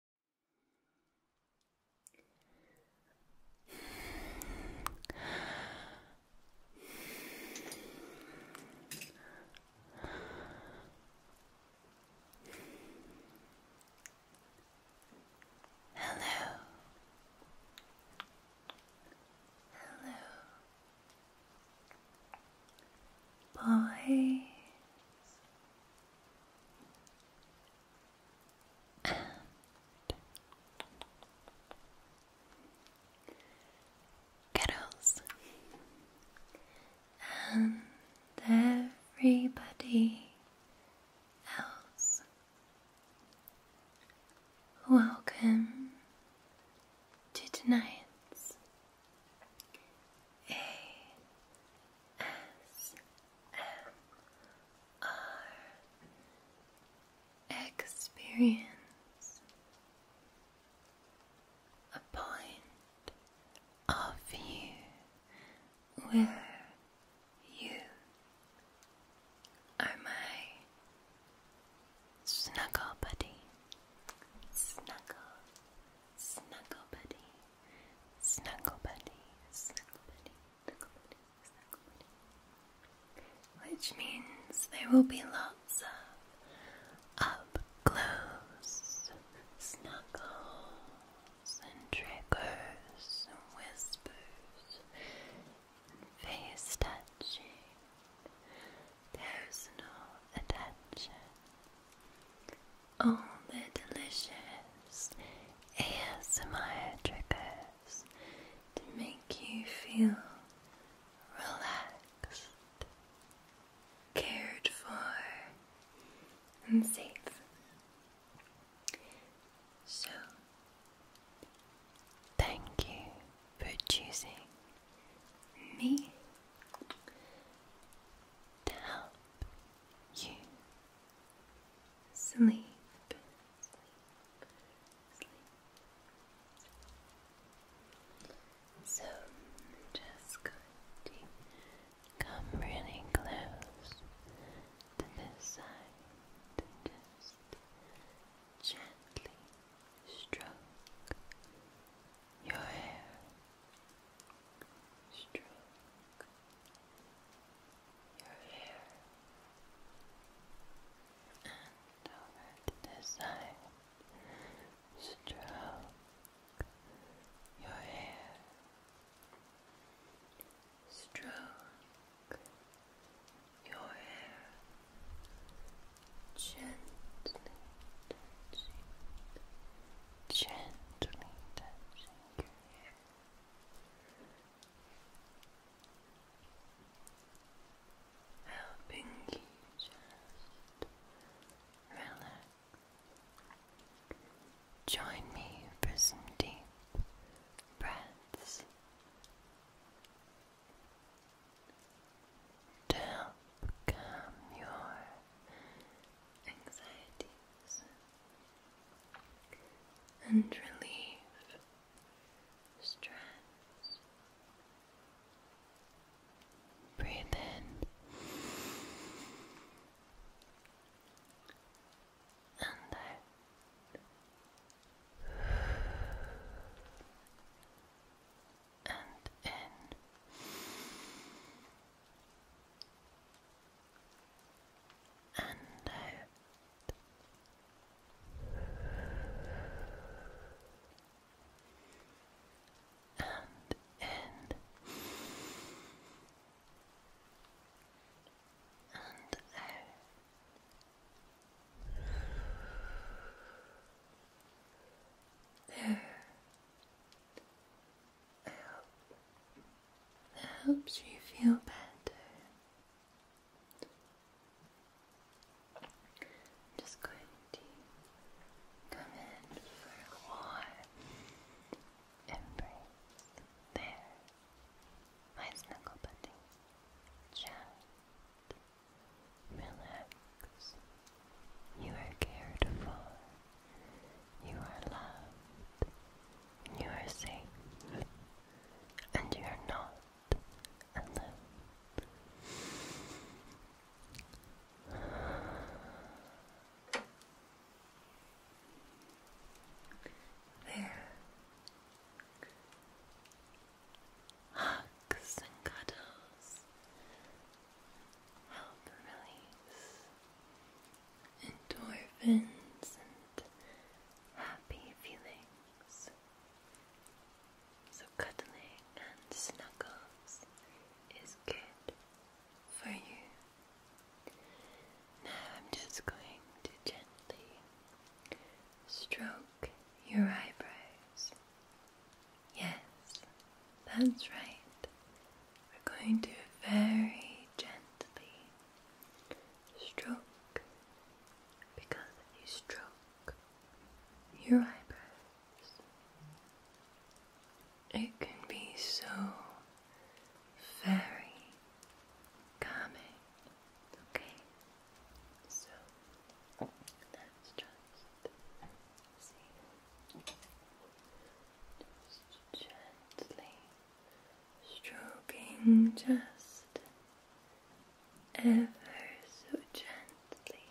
Hello. Hello. Boys and Kettles and everybody else. Welcome to tonight's a S M R experience a point of view where you are my snuggle buddy, snuggle, snuggle buddy. Snuggle buddies, Snuggle Buddy, Snuggle Buddy, Which means there will be lots of up close snuggles and triggers and whispers and face touching, There's no attention all the delicious ASMR triggers to make you feel relaxed, cared for, and safe. So, thank you for choosing me to help you sleep, So just going to come really close to this side gently stroke your hair stroke your hair and over to side, stroke your hair, stroke your hair gently touching, gently touching your helping you just relax. Join me for some deep breaths to help calm your anxieties, and relieve stress. Breathe in and out. And in and out. And in and out. There helps you feel better. just going to come in for a warm embrace. There, my snuggle buddy. Just relax. You are cared for. You are loved, you are safe, and you are not alone. There. Hugs and cuddles help release endorphins and happy feelings. So, cuddling and snuggles is good for you. Now, I'm just going to gently stroke your eyebrows. Yes, that's right. We're going to very gently stroke because if you stroke your eyebrows, it can be so very calming. Okay? So let just see. Just gently stroking just ever so gently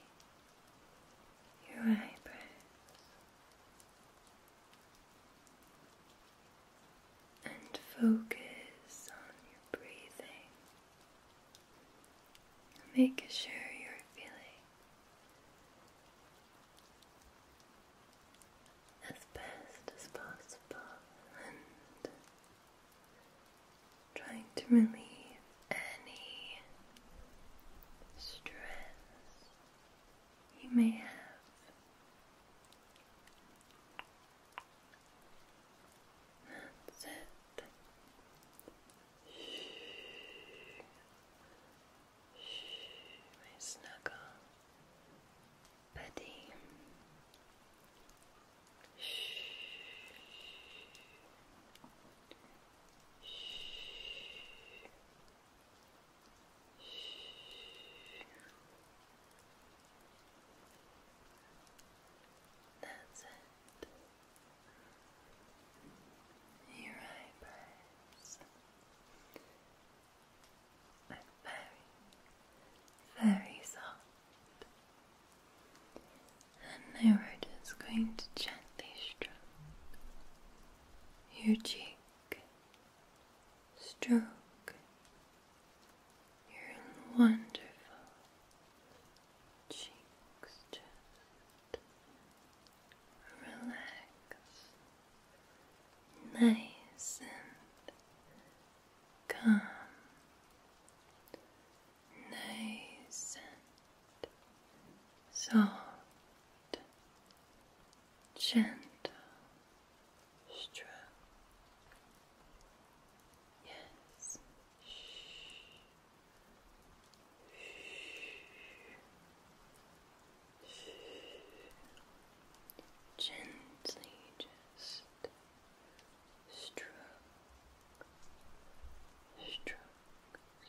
your eyebrows. And focus on your breathing. Make sure you're feeling as best as possible and trying to relieve any stress you may have. That's it my snuggle buddy. That's it. Your eyebrows very, very soft. And now we just going to gently stroke your cheek, stroke your wonderful cheeks, relax, nice and calm, nice and soft, gentle stroke. Yes. Shh. Shh. Gently just stroke, stroke,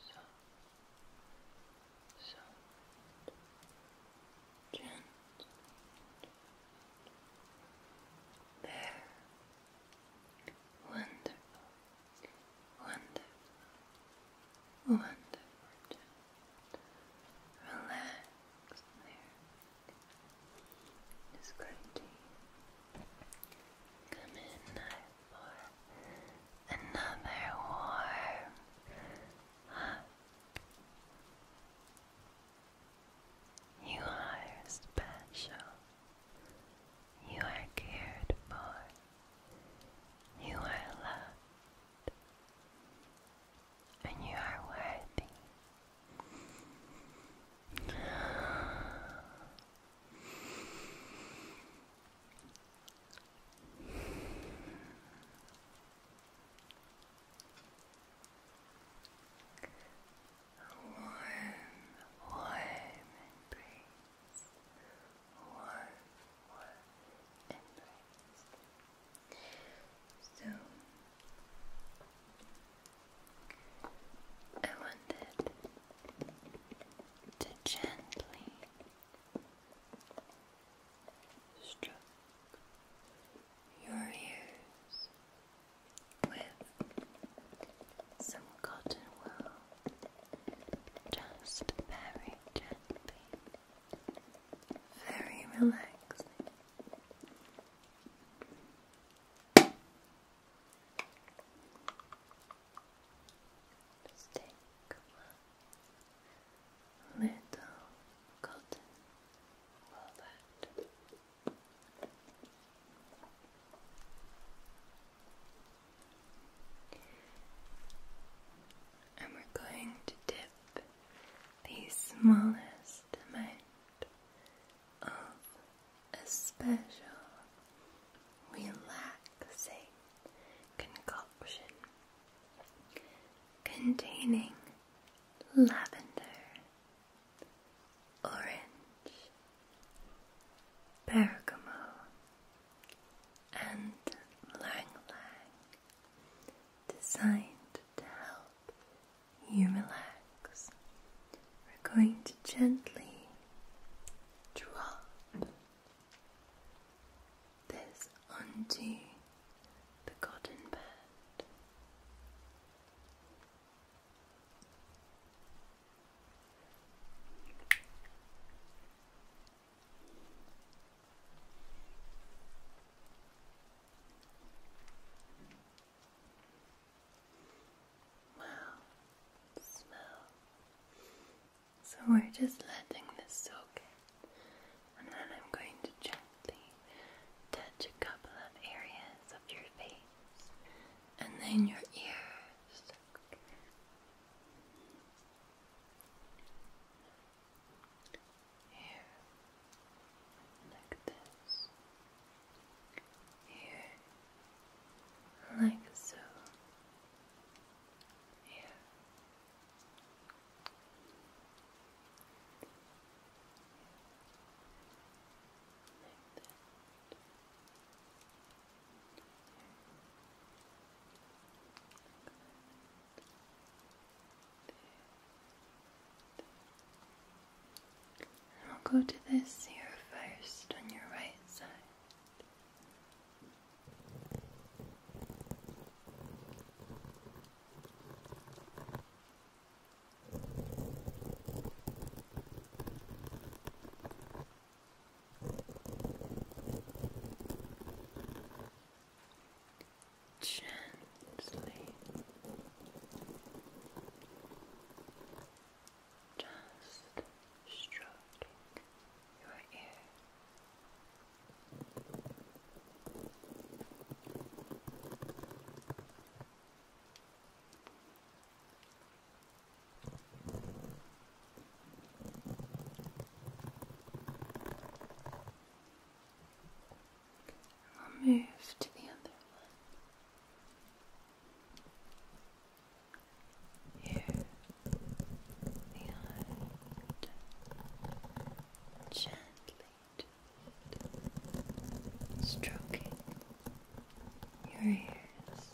soft, soft, gentle. There. Wonderful, wonderful. Wonderful. Relax there. Just going to come in now for another warm hug. You are special. You are cared for. You are loved and you are worthy. A warm, warm embrace or or So I wanted to gently stroke your ears with some cotton wool, just very gently very relaxing. Just take one little cotton wallet and we're going to dip the smallest amount of a special relaxing concoction containing lavender, orange, bergamot, and lang lang designed to help you relax. We're going to gently drop this onto the cotton bed. Wow, So we're just letting this soak in, and then I'm going to gently touch a couple of areas of your face and then your ears here, like this, here, like so, here. Like that. Here. Like that. And I'll go to this here first on your right side gently just stroking your ear. I'll move to the other one here behind gently, gently stroking your ears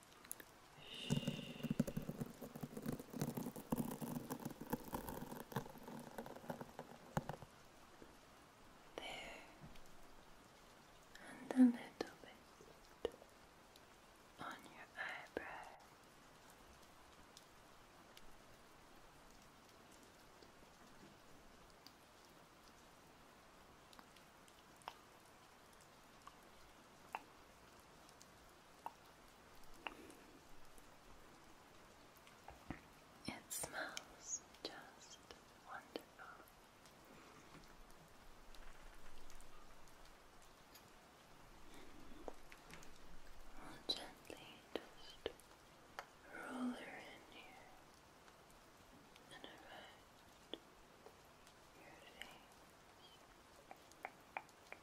There, and a little bit on your eyebrow. It smells just wonderful. We'll gently just roll her in here and around your face. Just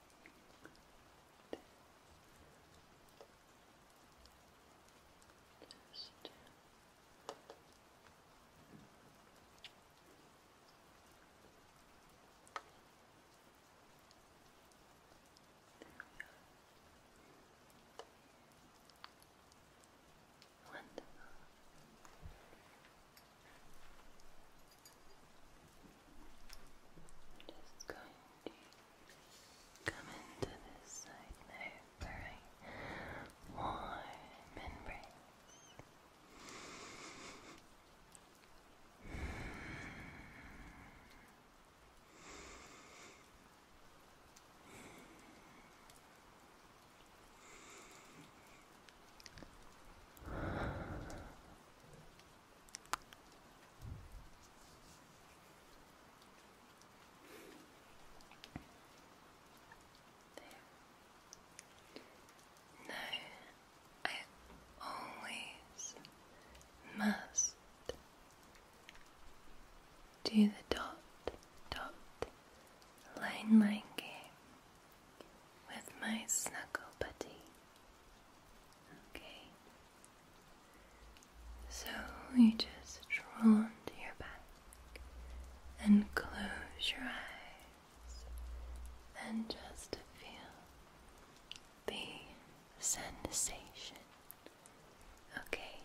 Wonderful just going to come into this side now for a warm embrace. There. I always must do the dot, dot, line, line game with my snuggle buddy. Okay. So you just roll onto your back and close your eyes and just feel the sensation. Okay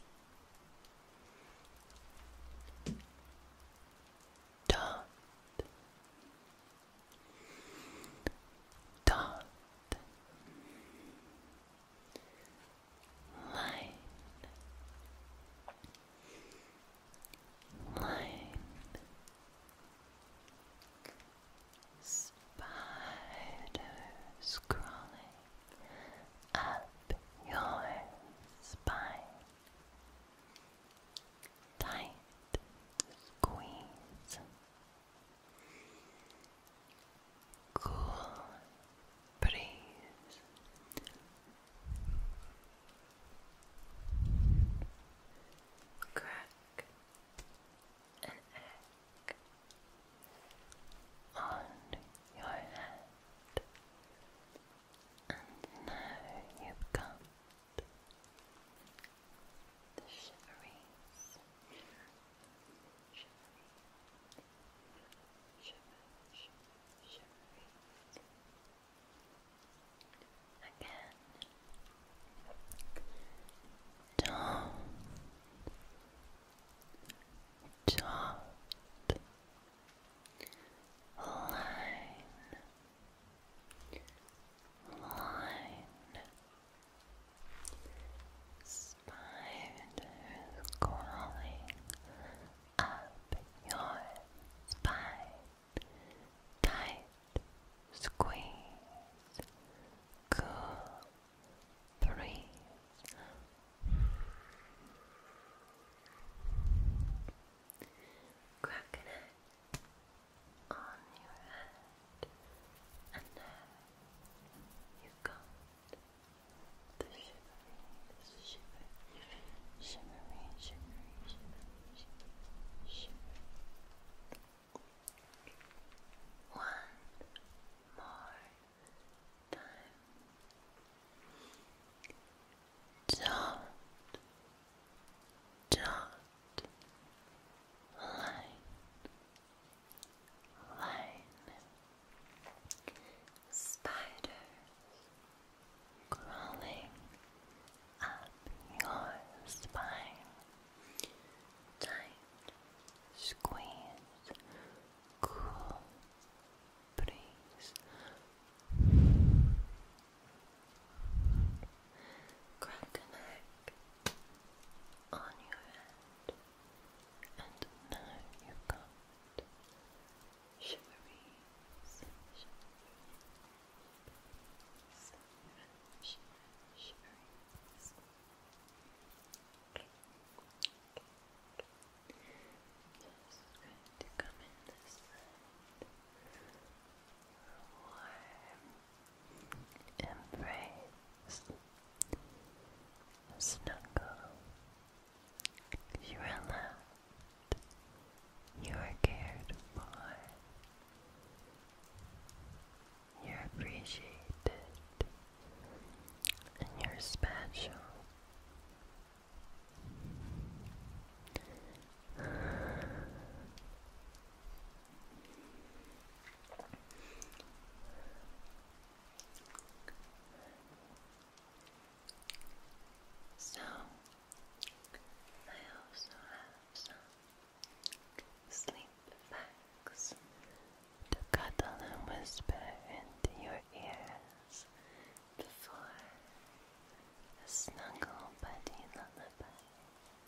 dot dot line line spider scrawling up your spine tight squeeze, cool breeze, crack an egg on your head. And now you've come the shiveries, shiver, shivery, shiver, shiver, Again, don't, Line line spiders crawling up your spine tight squeeze cool breeze cracking it on your head, and now you've got the shivering, shiver, shimmering, shimmering, shimmering, shimmering, shimmering. One more time. Don't dot, line, line, spiders crawling up your spine, tight squeeze, cool breeze. Crack egg on your head, and now you've got shiveries, shiveries, shiveries, shiveries. Okay. Okay. Just going to come in this side warm embrace, snuggle. You You are cared for. You're appreciated. And you're special. So, I also have some sleep facts to cuddle and whisper into your ears before a snuggle buddy lullaby.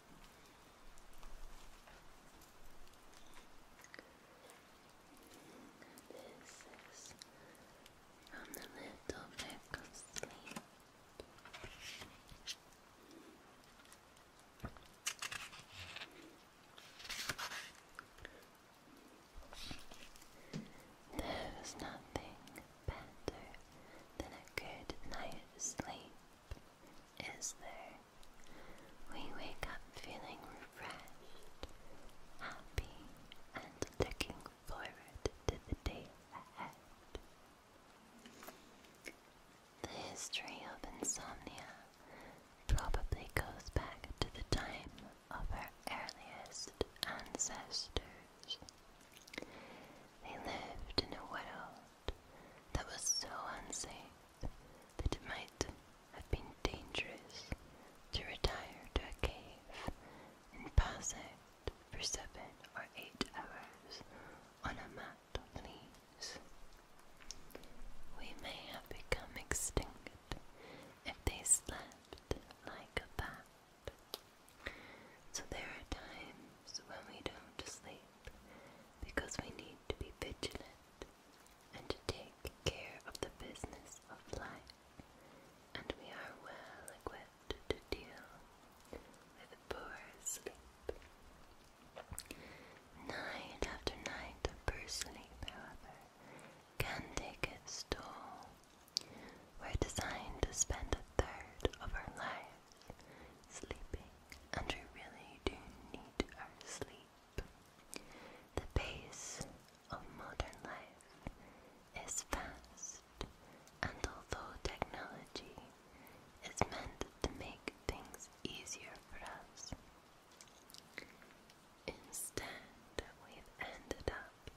This is from the little back of sleep. There is nothing better than a good night's sleep, is there? We wake up feeling refreshed, happy, and looking forward to the day ahead. The history of insomnia probably goes back to the time of our earliest ancestors village. They lived in a world that was so unsafe that it might have been dangerous to retire to a cave and pass out for seven or eight hours on a mat of leaves. We may have become extinct if they slept like a so there are times when we don't sleep because we need to be vigilant and to take care of the business of life, and we are well equipped to deal with poor sleep. Night after night poor sleep, however, can take its toll. We're designed to spend a third of our life sleeping, and we really do need our sleep. The pace of modern life is fast, and although technology is meant to make things easier for us, instead we've ended up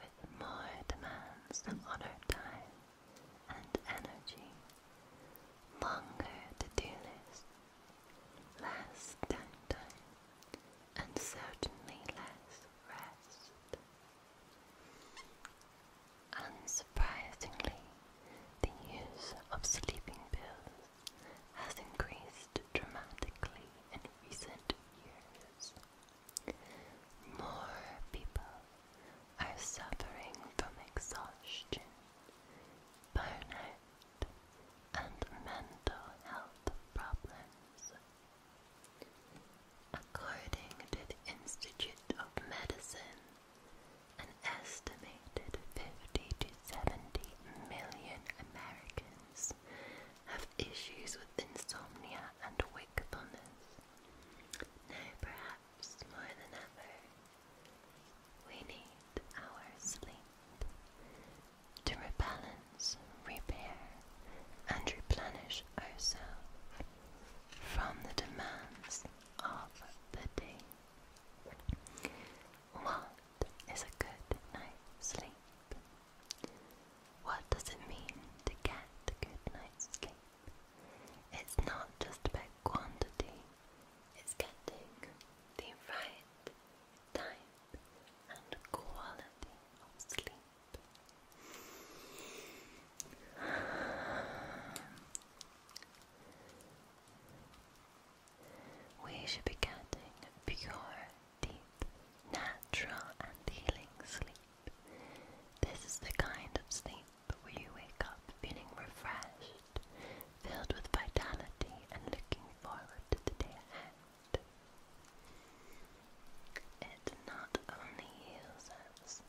with more demands on our time and energy, longer to-do list, less downtime, and certainly less rest. Unsurprisingly, the use of sleeping pills has increased dramatically in recent years. More people are suffering from exhaustion, burnout, and mental health problems. According to the Institute of Medicine, an estimated 50 to 70 million Americans have issues with insomnia and wakefulness. Now, perhaps perhaps more than ever, we need our sleep to rebalance, repair, and replenish ourselves from the demands of the day. What is a good night's sleep? What does it mean to get a good night's sleep? It's not just about quantity, it's getting the right type and quality of sleep. We should be getting pure, deep, natural, and healing sleep. This is the kind of sleep where you wake up feeling refreshed, filled with vitality, and looking forward to the day ahead. It not only heals us,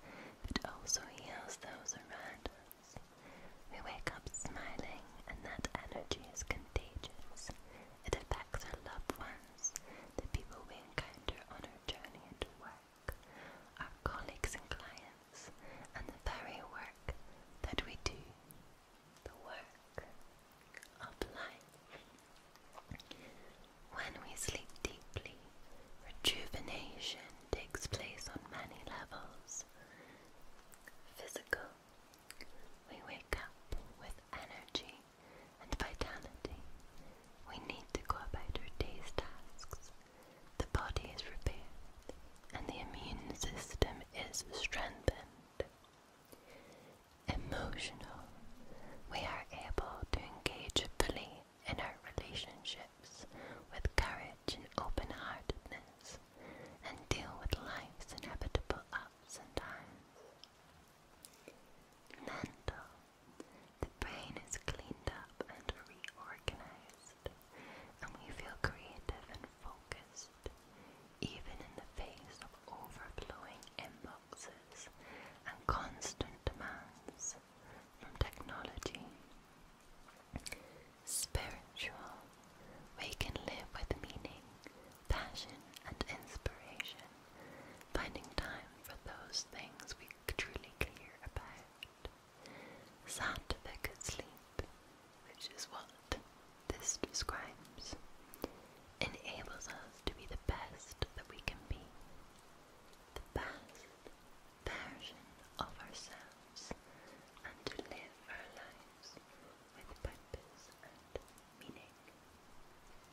it also heals those around us. We wake up smiling, and that energy is contagious. It affects our loved ones, the people we encounter on our journey into work our colleagues and clients, and the very work that we do, the work of life. When we sleep deeply, rejuvenation takes place on many levels. Physical, we wake up with energy and vitality we need to go about our day's tasks. The body is repaired, and the immune system is strengthened. Emotional. We are able to engage fully in our relationships with courage and open heartedness and deal with life's inevitable ups and downs. Mental. The brain is cleaned up and reorganized, and we feel creative and focused, even in the face of overflowing inboxes and constant demands from technology. Spiritual, we can live with meaning, passion, and inspiration, finding time for those things we truly clear about. Scientific sleep, which is what this describes, enables us to be the best that we can be, the best version of ourselves, and to live our lives with purpose and meaning. Okay, i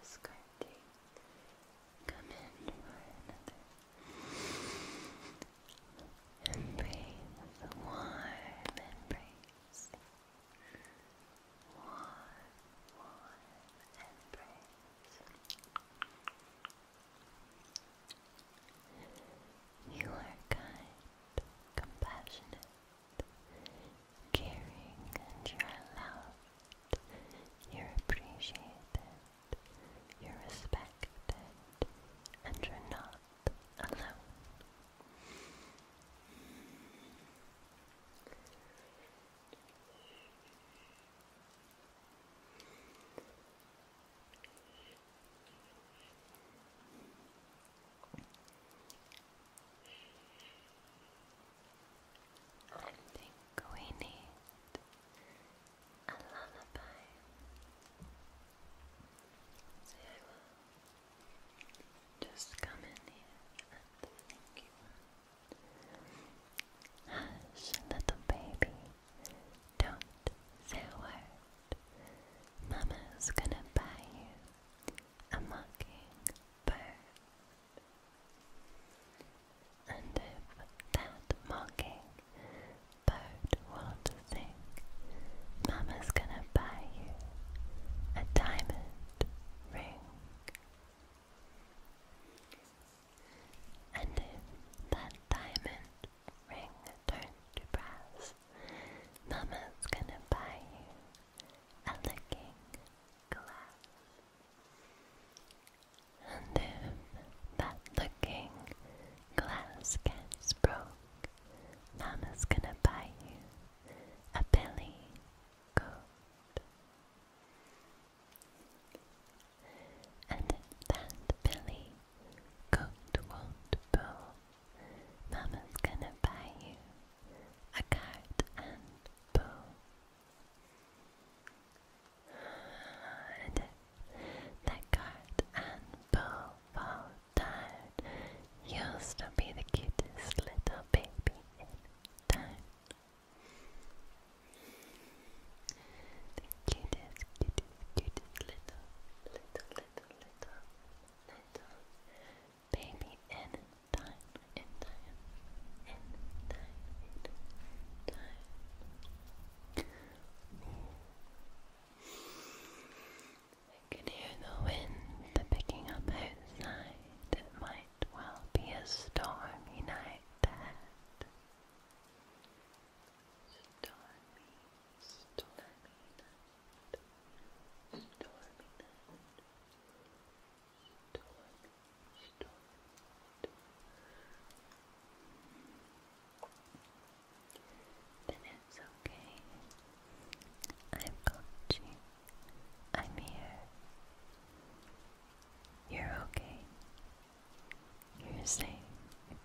just going come in for another embrace, warm embrace, warm, warm embrace. You are kind, compassionate, caring, and you are loved. You're appreciated, you're respected, and you're not alone. I a lullaby. So I will just come in here and thank you. Hush, little baby. Don't say a word. Mama's gonna buy you a mockingbird. And if that mockingbird won't sing, Mama's gonna buy you a diamond ring. And if that diamond ring turned to brass. Mama's gonna buy you a looking glass. And if that looking glass gets broke, Mama's gonna buy you a billy goat. And if that billy goat won't pull Mama's gonna buy you a card and bow. And if that card and bow fall down, you'll still be the cutest little baby in town. The cutest, cutest, cutest little, little, little, little, little baby and time, in time, in time, in time. I can hear the wind picking up outside. It might well be a stormy night ahead. Stormy stormy night, stormy night, Then it's okay. I've got you. I'm here. You're okay. You're safe.